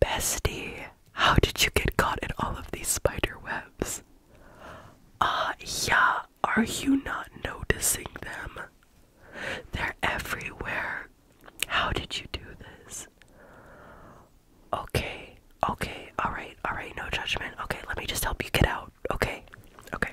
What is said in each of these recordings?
Bestie, how did you get caught in all of these spider webs? Ah, yeah, are you not noticing them? They're everywhere. How did you do this? Okay, okay, alright, alright, no judgment. Okay, let me just help you get out. Okay, okay.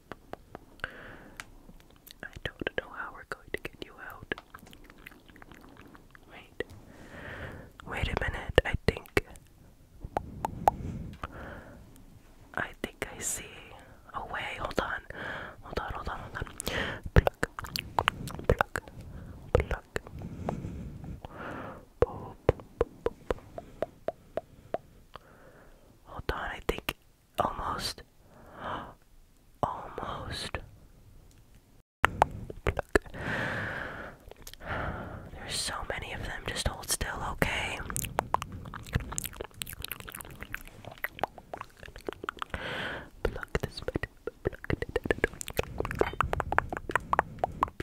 I don't know how we're going to get you out. Wait. Wait a minute. I think. I think I see a way. Hold on. Hold on, hold on, hold on. Hold on, I think almost. Almost. There's so many of them. Just hold still, okay? Pluck this bit.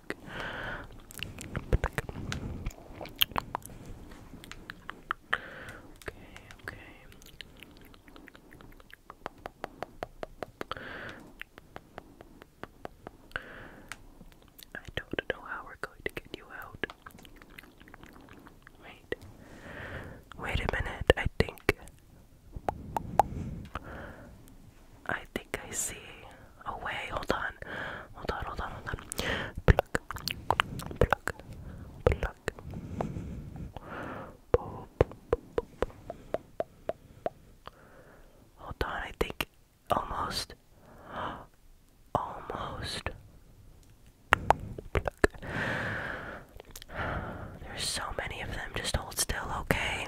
Okay, okay. I don't know how we're going to get you out. Wait. Wait a minute, I think. I think I see away. Oh, hold on. Hold on, hold on, hold on. Pluck. Pluck. Hold on, I think almost. Almost. There's so many of them. Just hold still, okay?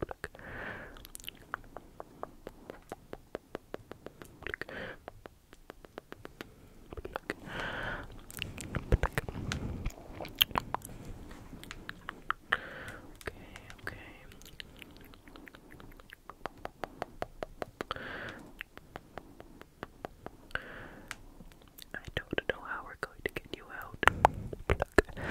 pluck, Okay, okay. I don't know how we're going to get you out.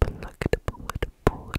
Plugged wood, wood, wood,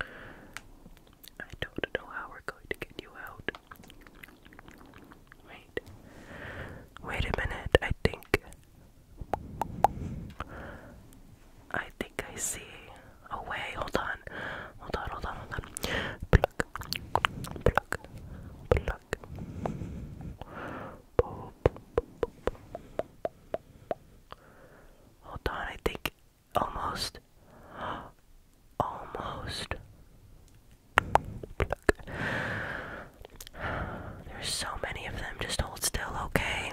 I don't know how we're going to get you out. Wait. Wait a minute, I think. I think I see a way. Hold on. Hold on, hold on, hold on. Pluck. Pluck. Pluck. Hold on, I think almost. Almost. There's so many of them. Just hold still, okay?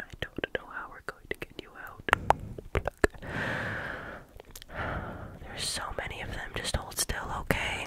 I don't know how we're going to get you out. There's so many of them. Just hold still, okay?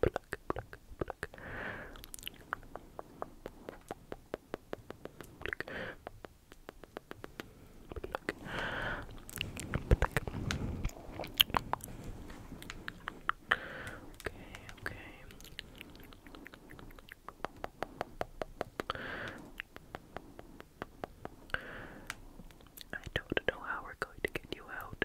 Pluck, pluck, pluck. Pluck. Pluck. Pluck. Okay, okay. I don't know how we're going to get you out.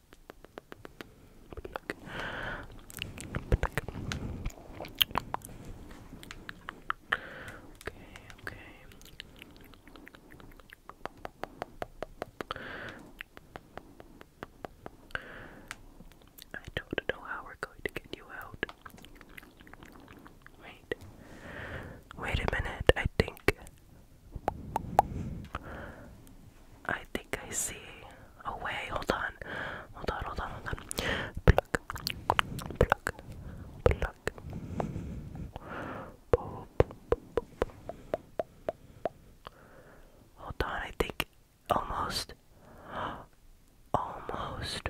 I don't know how we're going to get you out. Wait. Wait a minute. I think I think I see a way. Hold on. Hold on, hold on, hold on. Pluck. Pluck. Pluck. Hold on, I think almost. Almost.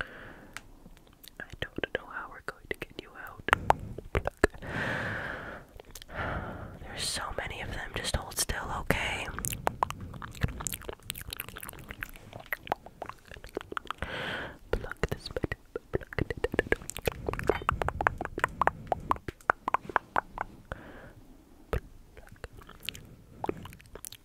I don't know how we're going to get you out. There's so many of them. Just hold still, okay?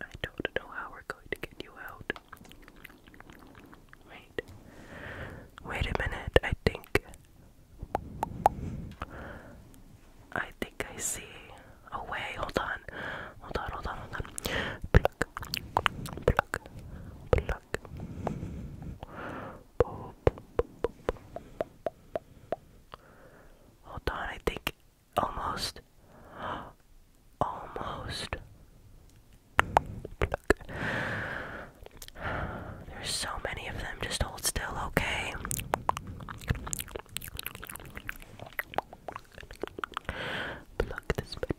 I don't know how we're going to get you out. Wait. Wait a minute, I think. I think I see a way. Hold on. Hold on, hold on, hold on. Hold on, I think almost, almost. There's so many of them. Just hold still, okay?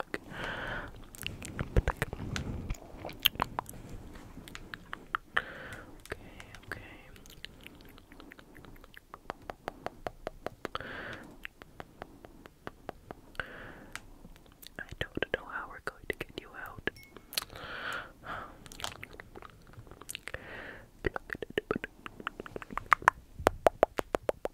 okay. I don't know how we're going to get you out.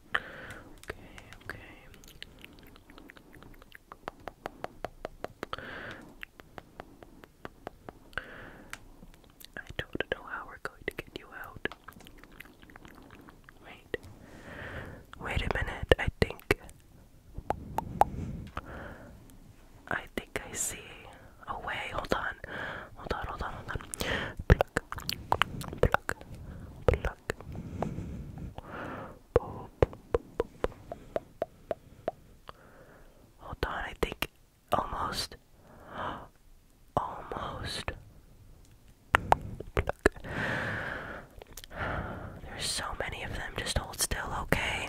Okay, okay. I don't know how we're going to get you out. Wait. Wait a minute, I think. I think I see a oh, way. Hold on. Hold on, hold on, hold on. Pluck. Pluck. Pluck. Hold on, I think almost, almost. There's so many of them. Just hold still, okay?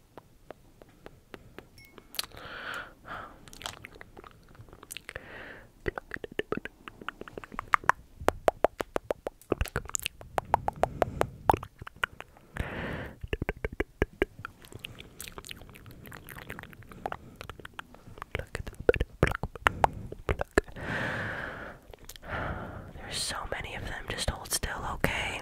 There's so many of them. Just hold still, okay?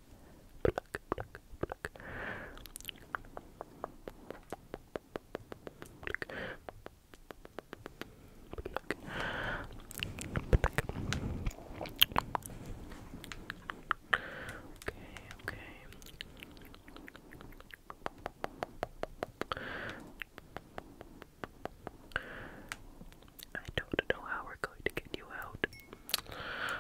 Pluck, Okay, okay. I don't know how we're going to get you out.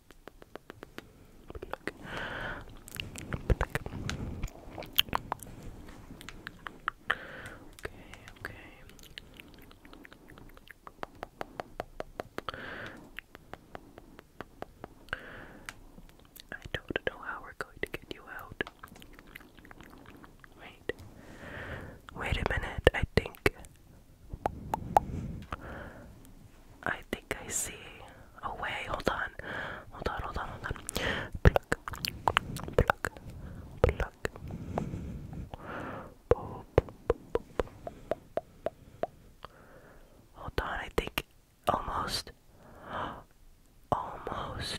I don't know how we're going to get you out. Wait. Wait a minute. I think I think I see a way. Hold on. Hold on, hold on, hold on. Pluck. Pluck. Pluck. Hold on, I think almost. Almost.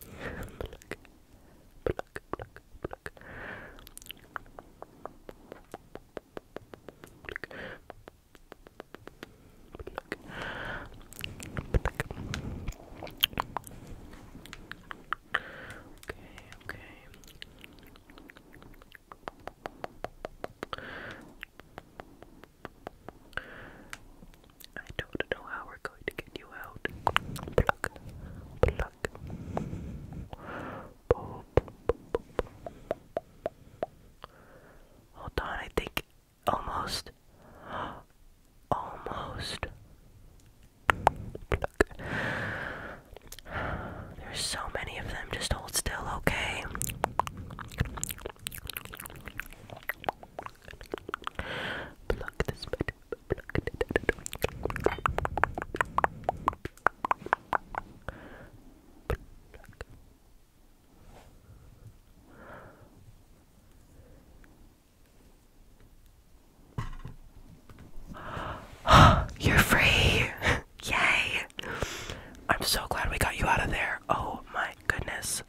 pluck, pluck, pluck, pluck. Pluck. Pluck. Pluck. Okay, okay. Pluck. I don't know how we're going to get you out. Hold on, I think almost, almost. There's so many of them. Just hold still, okay? You're free! Yay! I'm so glad we got you out of there. Oh my goodness.